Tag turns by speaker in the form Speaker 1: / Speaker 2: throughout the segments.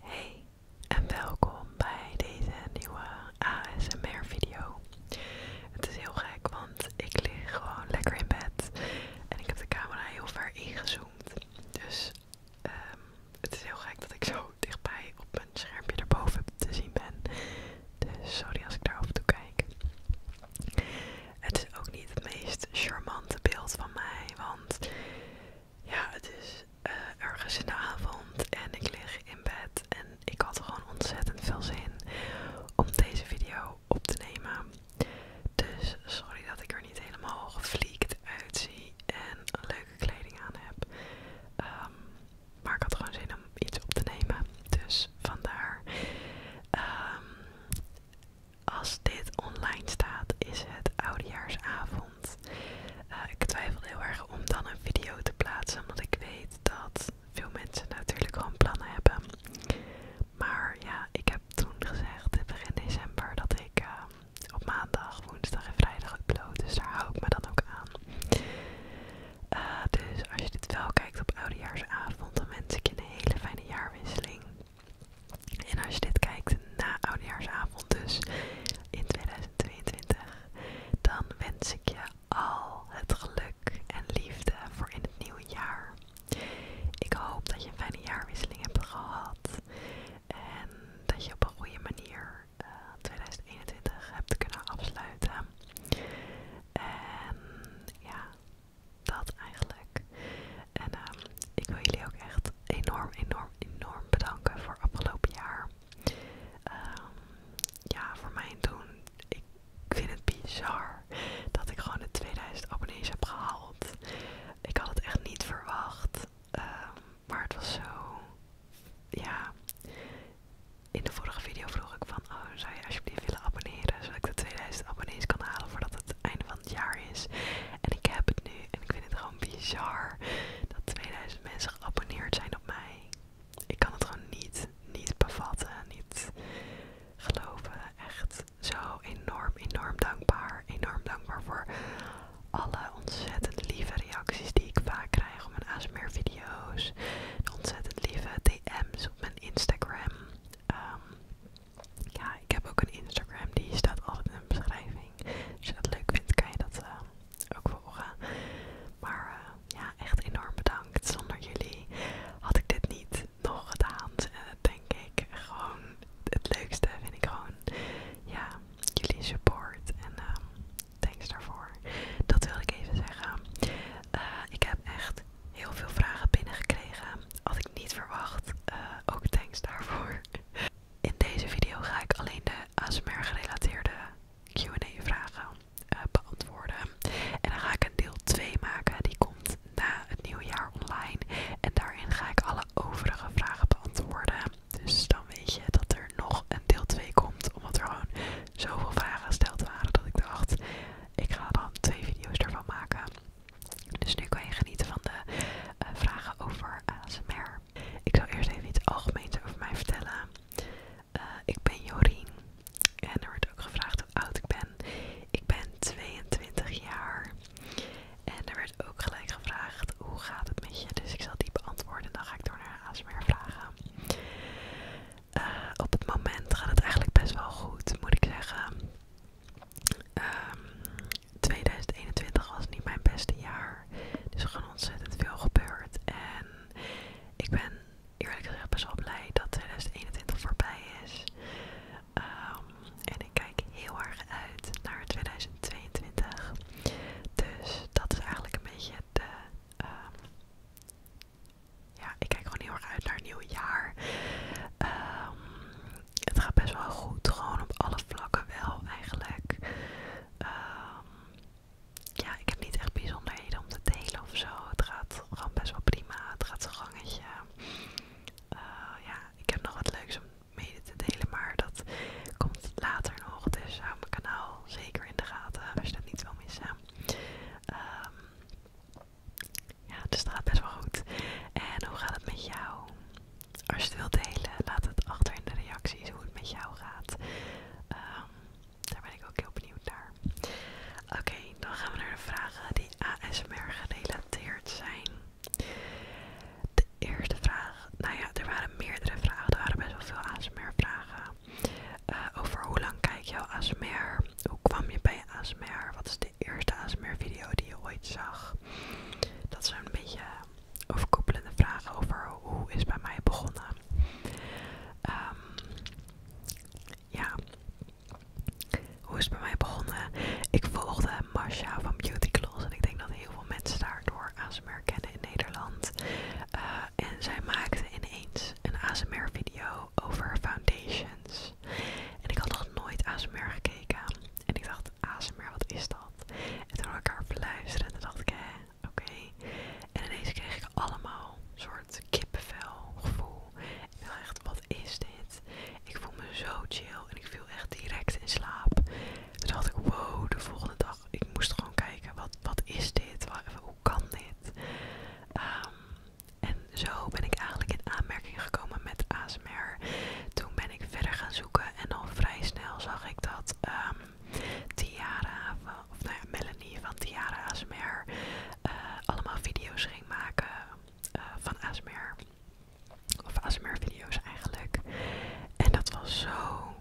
Speaker 1: Hey en welkom bij deze nieuwe ASMR video. Het is heel gek, want ik lig gewoon lekker in bed en ik heb de camera heel ver ingezoomd. Dus ehm, het is heel gek dat ik zo dichtbij op mijn schermpje erboven te zien ben. Dus sorry als ik daar af en toe kijk. Het is ook niet het meest charmante beeld van mij, want ja, het is eh, ergens in de avond en ik lig in bed en ik had er gewoon ontzettend veel zin om deze video op te nemen. Dus sorry dat ik er niet helemaal gevliekt uitzie en een leuke kleding aan heb. Ehm, maar ik had gewoon zin om iets op te nemen. Dus vandaar. ehm als dit online staat, is het oudejaarsavond. Eh, ik twijfel heel erg om dan een video te plaatsen, Want ik weet dat veel mensen natuurlijk gewoon plannen hebben. Maar ja, ik heb toen gezegd, begin december, dat ik eh, op maandag, woensdag en vrijdag upload. Dus daar hou ik me dan ook aan. Eh, dus als je dit wel kijkt op oudejaarsavond, dan wens ik je een hele fijne jaarwisseling. En als je dit kijkt na oudjaarsavond dus in 2022, dan wens ik je al het geluk en liefde voor in het nieuwe jaar. Ik hoop dat je een fijne jaarwisseling hebt gehad en dat je op een goede manier 2021 eh, hebt kunnen afsluiten. En ja, dat eigenlijk. En ehm, ik wil jullie ook echt enorm, enorm, enorm bedanken voor afgelopen jaar. Ehm, ja, voor mijn doen. Ik vind het bizar dat ik gewoon de 2000 abonnees heb gehaald. Ik had het echt niet verwacht. Ehm, maar het was zo. Ja. In de vorige video vroeg ik van, oh, zou je alsjeblieft willen abonneren, zodat ik de 2000 abonnees kan halen voordat het het einde van het jaar is. En ik heb het nu en ik vind het gewoon bizar dat 2000 mensen geabonneerd zijn op mij. Ik kan het gewoon niet, niet bevatten, niet geloven. Echt zo enorm, enorm dankbaar. Enorm dankbaar voor alle ontzettend lieve reacties die ik vaak krijg op mijn ASMR video's. De ontzettend lieve DM's op mijn Instagram. Ehm, ja, ik heb ook een Instagram, die staat al in de beschrijving. Als je dat leuk vindt, kan je dat eh, ook volgen. Maar eh, ja, echt enorm bedankt. Zonder jullie had ik dit niet nog gedaan. En dat denk ik gewoon het leukste vind ik gewoon ja, jullie support. En eh, thanks daarvoor. Dat wil ik even zeggen. ik heb echt heel veel vragen binnengekregen. Had ik niet verwacht. ook thanks daarvoor. In deze video ga ik alleen de ASMR gerelateerde Q&A vragen eh, beantwoorden. En dan ga ik een deel 2 maken, die komt na het nieuwe jaar online. En daarin ga ik alle overige vragen beantwoorden. Dus dan weet je dat er nog een deel 2 komt, omdat er gewoon zoveel vragen gesteld waren dat ik dacht, ik ga dan twee video's ervan maken. Dus nu kan je genieten van de eh, vragen over ASMR. Ik zal eerst even iets algemeens over mij vertellen. Eh, ik ben Jorien en er wordt ook gevraagd hoe oud ik ben. Ik ben 22 jaar en er werd ook gelijk gevraagd hoe gaat het met je. Dus ik zal die beantwoorden en dan ga ik door naar ASMR vragen. Eh, op het moment gaat het eigenlijk best wel goed, moet ik zeggen. 2021 ehm, was niet mijn beste jaar. Dus er gewoon ontzettend veel gebeurd. En ik ben eerlijk gezegd best wel blij dat 2021 voorbij is. Ehm, en ik kijk heel erg uit naar 2022. Dus dat is eigenlijk een beetje de. Ehm, ja, ik kijk gewoon heel erg uit naar een nieuw jaar. Ehm het gaat best wel goed. Gewoon op alle vlakken wel eigenlijk. Ehm, ja, ik heb niet echt bijzonderheden om te delen of zo. Het gaat gewoon best wel prima. Het gaat zo'n gangetje. Eh, ja, ik heb nog wat leuks om mee te delen, maar dat komt later nog. Dus hou mijn kanaal zeker in de gaten als je dat niet wil missen. Ehm, ja, dus dat gaat best wel goed. En hoe gaat het met jou? Als je het wilt delen, laat het achter in de reacties hoe het met jou gaat. Ehm, daar ben ik ook heel benieuwd naar. Oké, dan gaan we naar de vragen die ASMR gerelateerd zijn. De eerste vraag, nou ja, er waren meerdere vragen, er waren best wel veel ASMR-vragen. Eh, over hoe lang kijk je al ASMR? Hoe kwam je bij ASMR. Wat is de eerste ASMR video die je ooit zag? Dat is een beetje overkoepelende vragen over hoe is bij mij begonnen. Ehm, ja, hoe is het bij mij begonnen? Ik volgde Masha van Beauty Close en ik denk dat heel veel mensen daardoor ASMR kennen in Nederland. Eh, en zij maakte ineens een ASMR video over foundations. En ik had nog nooit ASMR gekeken. En ik dacht, ASMR, wat is dat? En toen had ik haar en toen dacht ik, hè, oké. En ineens kreeg ik allemaal soort kippenvel gevoel. ik dacht echt, wat is dit? Ik voel me zo chill en ik viel echt direct in slaap. Toen dacht ik, wow, de volgende dag, ik moest gewoon kijken, wat, wat is dit? Hoe kan dit? Ehm. En zo ben ik eigenlijk in aanmerking gekomen met ASMR. Toen ben ik verder gaan zoeken en al vrij snel zag ik dat ehm, Tiara, of nou Melanie van Tiara ASMR, eh, allemaal video's ging maken eh, van ASMR. Of ASMR video's eigenlijk. En dat was zo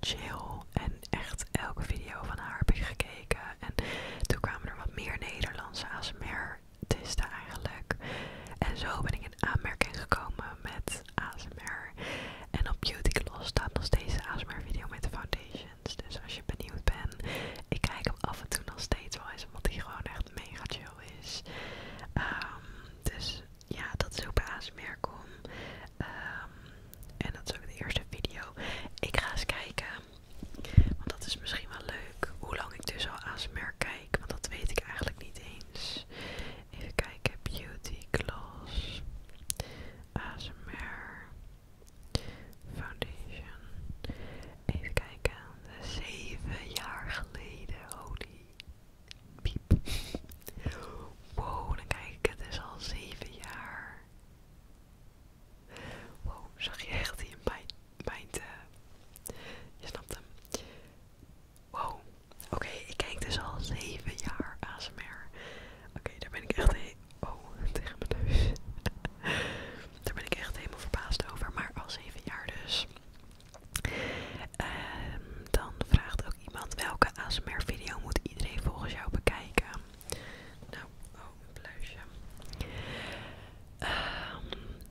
Speaker 1: chill. En echt elke video van haar heb ik gekeken. En toen kwamen er wat meer Nederlandse ASMR daar eigenlijk. En zo ben ik in aanmerking gekomen met ASMR. En op Beauty Gloss staat nog steeds de ASMR video met de foundations. Dus als je benieuwd bent, ik kijk hem af en toe nog steeds wel eens, omdat hij gewoon echt mega chill is. Ehm, dus ja, dat is ook bij ASMR kom. Ehm, en dat is ook de eerste video. Ik ga eens kijken want dat is misschien wel leuk. Hoe lang ik dus al ASMR kijk, want dat weet ik eigenlijk niet eens. Even kijken, Beauty Gloss, ASMR, Foundation. Even kijken, zeven jaar geleden, holy piep. Wow, dan kijk ik het is dus al zeven jaar. Wow, zag je echt een mijn Mind, eh, je snapt hem. Wow, oké, ik kijk dus al 7 jaar ASMR. Oké, daar ben ik echt Oh, tegen mijn neus. daar ben ik echt helemaal verbaasd over, maar al zeven jaar dus. Ehm, dan vraagt ook iemand welke ASMR video moet iedereen volgens jou bekijken. Nou, Ehm,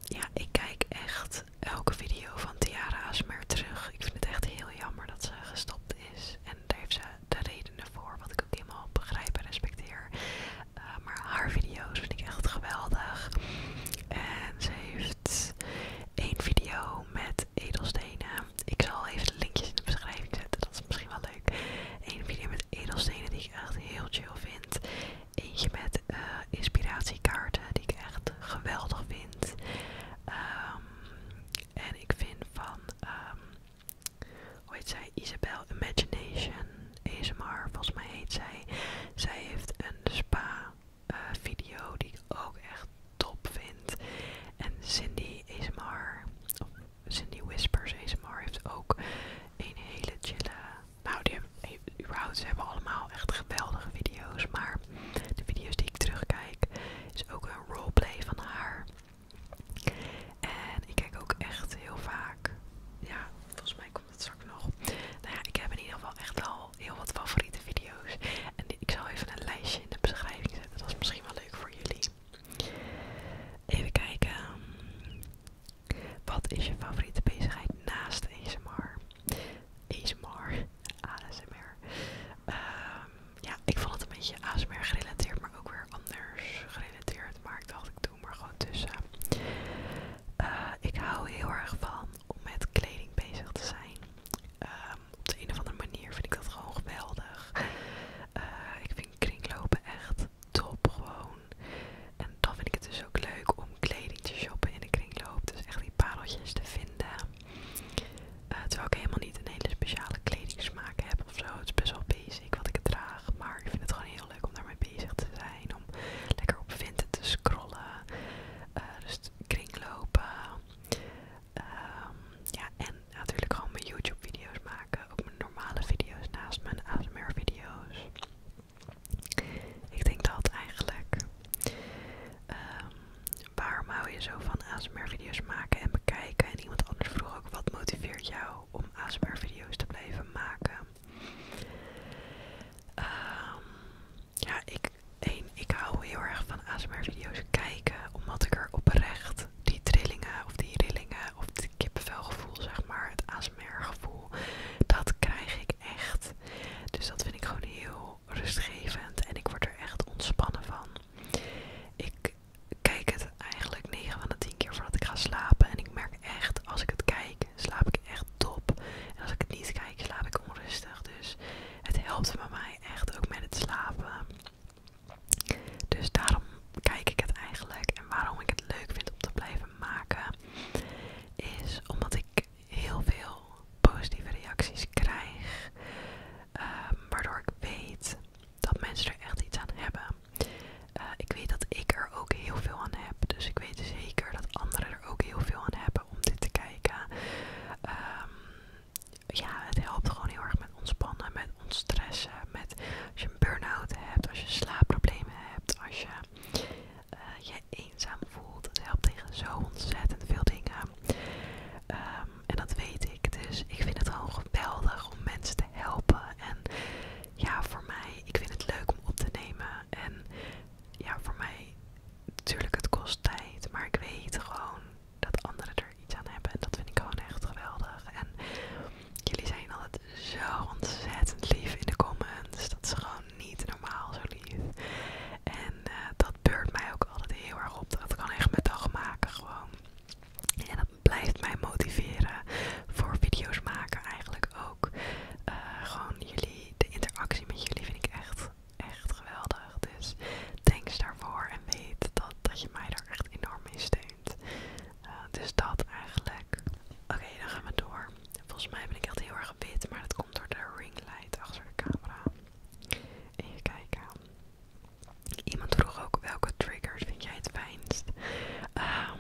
Speaker 1: ja, ik kijk echt elke video van Tiara Asmer terug. Ik vind het echt heel jammer dat ze gestopt is. En daar heeft ze de redenen voor, wat ik ook helemaal begrijp en respecteer. Ehm, maar haar video's vind ik echt geweldig. En ze heeft één video met edelstenen. Ik zal even de linkjes in de beschrijving zetten, dat is misschien wel leuk. Eén video met edelstenen die ik echt heel chill vind. Eentje met eh, inspiratiekaarten die ik echt geweldig vind. Um, en ik vind van, ehm, hoe heet zij, Isabel Imagination ASMR, volgens mij heet zij. Zij heeft een spa eh, video die ik ook echt top vind. En Cindy ASMR, of Cindy Whispers ASMR heeft ook een hele chille nou, die hebben, überhaupt, ze hebben allemaal echt geweldige video's. Maar de video's die ik terugkijk, is ook een roleplay van haar. En ik kijk ook echt heel vaak. Ja, volgens mij komt het straks nog. Nou ja, ik heb in ieder geval echt al heel wat favoriete video's. En ik zal even een lijstje in de beschrijving zetten. Dat is misschien wel leuk voor jullie. Even kijken. Ehm, wat is je favoriete bezigheid naast ASMR? ASMR, ASMR. Ehm, ja, ik vond het een beetje ASMR gerelateerd, maar ook weer anders gerelateerd. Maar ik dacht, ik doe maar gewoon tussen. Eh, ik hou heel erg van om met kleding bezig te zijn. Ehm, op de een of andere manier vind ik dat gewoon geweldig. Eh, ik vind kringlopen echt top gewoon. En dan vind ik het dus ook leuk om kleding te shoppen in de kringloop. Dus echt die pareltjes te vinden. Eh, terwijl ik helemaal niet een hele speciale kleding smaak heb of zo. Het is best wel basic wat ik het draag. Maar ik vind het gewoon heel leuk om daarmee bezig te zijn. Om lekker op vinten te scrollen. Eh, dus kringlopen. Ehm, ja, en natuurlijk gewoon mijn YouTube video's maken. Ook mijn normale video's naast mijn ASMR video's. Ik denk dat eigenlijk. Ehm, waarom hou je zo van ASMR-video's maken en bekijken? En iemand anders vroeg ook, wat motiveert jou om ASMR-video's te blijven maken? Ehm, ja, ik, één, ik hou heel erg van ASMR-video's kijken, omdat ik er oprecht die trillingen of die rillingen of het kippenvelgevoel, zeg maar, het meer gevoel. Dat krijg ik echt. Dus dat vind ik gewoon heel rustgevend. En ik word er echt ontspannen van. Ik kijk het eigenlijk 9 van de 10 keer voordat ik ga slapen. En ik merk echt, als ik het kijk, slaap ik echt top. En als ik het niet kijk, slaap ik onrustig. Dus het helpt bij mij echt ook met het slapen. Dus daarom kijk ik het eigenlijk en waarom ik het leuk vind om te blijven maken, is omdat ik heel veel positieve reacties krijg, ehm, waardoor ik weet dat mensen er echt iets aan hebben. Eh, ik weet dat ik er ook heel veel aan heb, dus ik weet zeker dat anderen er ook heel veel aan hebben om dit te kijken. Ehm, ja, het helpt gewoon heel erg met ontspannen, met ontstressen, met burnout burn-out hebt, als je slaapproblemen hebt, als je eh, je eenzaam voelt. Het helpt tegen zo ontzettend veel dingen. Ehm, en dat weet ik. Dus ik vind het gewoon geweldig om mensen te helpen. En ja, voor mij, ik vind het leuk om op te nemen. En ja, voor mij, natuurlijk, het kost tijd. Maar ik weet gewoon dat anderen er iets aan hebben. En dat vind ik gewoon echt geweldig. En Jullie zijn altijd zo ontzettend lief in de comments. Dat is gewoon niet normaal zo lief. En eh, dat beurt mij ook altijd heel erg op. Dat kan echt mijn dag maken gewoon. En dat blijft mij motiveren voor video's maken eigenlijk ook. Eh, gewoon jullie, de interactie met jullie vind ik echt, echt geweldig. Dus thanks daarvoor en weet dat, dat je mij daar echt enorm mee steekt. Eh, dus dat eigenlijk. Oké, dan gaan we door. Volgens mij ben ik echt heel erg wit, maar dat komt door de ringlight achter de camera. Even kijken. Iemand vroeg ook welke triggers vind jij het fijnst? Ehm,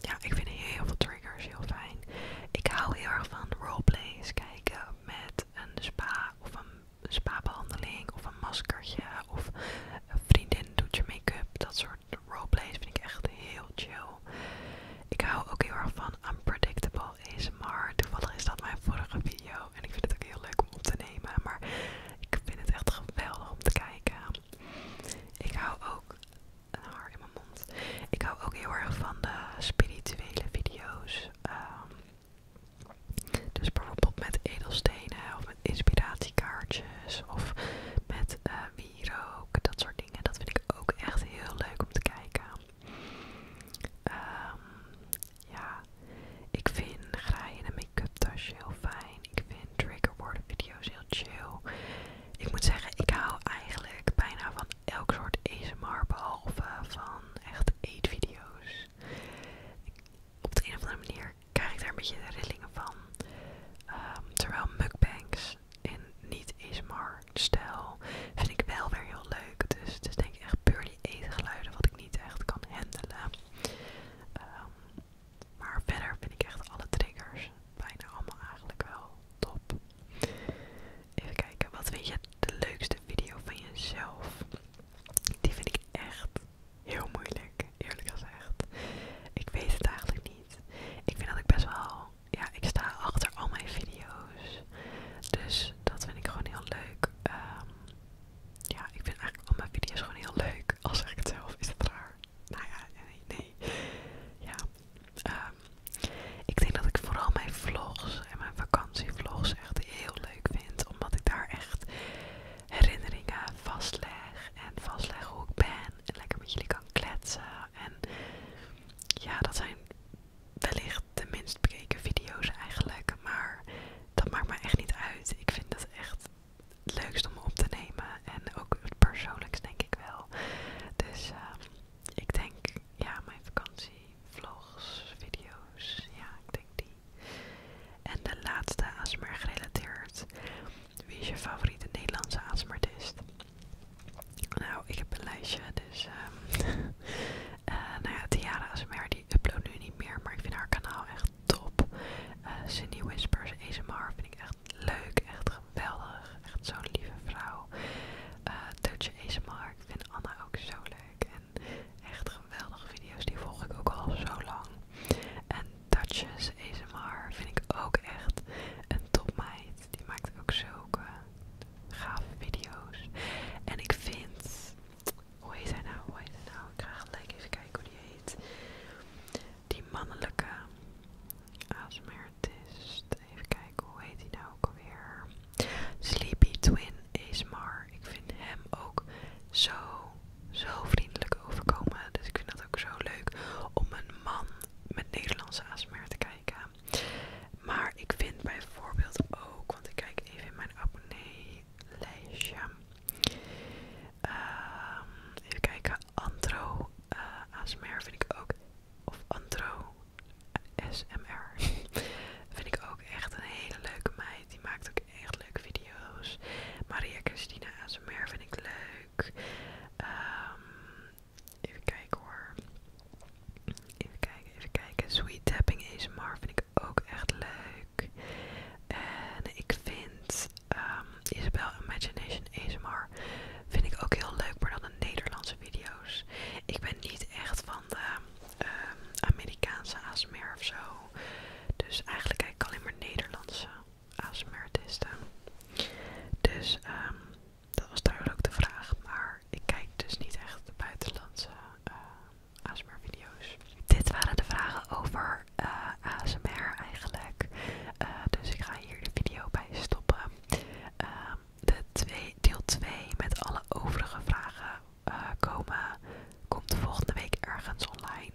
Speaker 1: ja, ik vind heel veel triggers heel fijn. Ik hou heel erg van roleplays kijken met een spa of een spa-behandeling of een maskertje of een vriendin doet je make-up, dat soort Roleplay vind ik echt heel chill. Ik hou ook heel erg van unpredictable ASMR. Toevallig is dat mijn vorige video. En ik vind het ook heel leuk om op te nemen. Maar ik vind het echt geweldig om te kijken. Ik hou ook... Een haar in mijn mond. Ik hou ook heel erg van de spirituele video's. Ehm, dus bijvoorbeeld met edelstenen of inspiratiekaartjes of met wie eh, wierook, dat soort dingen. Dat vind ik ook echt heel leuk om te kijken. Ehm, ja, ik vind graaien en make-up tasje heel fijn. Ik vind triggerwoorden video's heel chill. Ik moet zeggen, ik hou eigenlijk bijna van elk soort ASMR behalve van echt eetvideo's. Op de een of andere manier krijg ik daar een beetje de rillingen van. Ehm, terwijl mukbangs in niet-ASMR-stijl vind ik wel weer heel leuk. Dus het denk ik echt puur die geluiden wat ik niet echt kan handelen. Ehm, maar verder vind ik echt alle triggers bijna allemaal eigenlijk wel top. Even kijken, wat vind je de leukste video van jezelf? Die vind ik echt heel moeilijk, eerlijk gezegd. Ik weet het eigenlijk niet. Ik vind dat ik best wel, ja, ik sta achter al mijn video's. Dus dat vind ik gewoon heel leuk. Ehm, ja, ik vind eigenlijk al mijn video's gewoon heel leuk. als zeg ik het zelf, is dat raar? Nou ja, nee, Ja. Ehm, ik denk dat ik vooral mijn vlogs en mijn vakantievlogs echt heel leuk vind. Omdat ik daar echt herinneringen vastleggen En vastleggen hoe ik ben. En lekker met jullie kan kletsen. En ja, dat zijn wellicht de minst bekeken video's eigenlijk. Maar dat maakt me echt niet uit. Ik vind dat echt het leukst om op te nemen. En ook het persoonlijkst denk ik wel. Dus ehm, ik denk, ja, mijn vlogs, video's, ja, en de laatste ASMR gerelateerd. Wie is je favoriete Nederlandse ASMRtist? Nou, ik heb een lijstje, dus ehm, eh, nou ja, Tiara ASMR die upload nu niet meer, maar ik vind haar kanaal echt top. Uh, Whispers ASMR vind ik echt leuk, echt geweldig, echt zo'n lieve vrouw. Eh, Dutch ASMR, ik vind Anna ook zo leuk en echt geweldige video's, die volg ik ook al zo lang. En Duchess ASMR vind ik ook echt een topmeid. Die maakt ook zulke gave video's. En ik vind... Hoe heet hij nou? Hoe heet hij nou? Ik ga gelijk even kijken hoe die heet. Die mannelijke ASMRtist. Even kijken, hoe heet hij nou ook weer. Sleepy Twin ASMR. Ik vind hem ook zo zo vriendelijk overkomen. Dus ik vind dat ook zo leuk om een man met Nederlandse ASMR te kijken. Maar ik vind bijvoorbeeld ook, want ik kijk even in mijn lijstje, lijstje. Ehm, even kijken, Antro eh, ASMR vind ik ook, of Antro SMR vind ik ook echt een hele leuke meid. Die maakt ook echt leuke video's. Maria Christina ASMR vind ik leuk. Ehm, even kijken hoor. Even kijken, even kijken. Sweet Tapping ASMR vind ik ook echt leuk. En ik vind ehm, Isabel Imagination ASMR vind ik ook heel leuk, maar dan de Nederlandse video's. Ik ben niet echt van de ehm, Amerikaanse ASMR of zo. Dus eigenlijk kijk ik alleen maar Nederlandse ASMR-artiesten. Dus ehm, dat was duidelijk ook de vraag. Maar ik kijk dus niet echt de buitenlandse eh, ASMR-video's. Dit waren de vragen over eh, ASMR eigenlijk. Eh, dus ik ga hier de video bij stoppen. Ehm, de twee, deel 2 met alle overige vragen eh, komen, komt volgende week ergens online.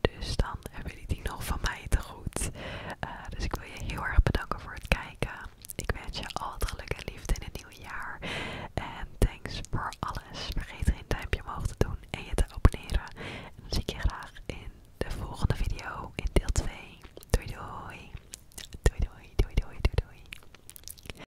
Speaker 1: Dus dan hebben jullie die nog van mij te goed. Eh, dus ik wil je heel erg bedanken voor het kijken. Ik wens je altijd geluk en liefde in het nieuwe jaar. En thanks voor alles. Vergeet geen duimpje omhoog te doen en je te abonneren. En dan zie ik je graag in de volgende video in deel 2. doei. Doei doei doei doei doei doei.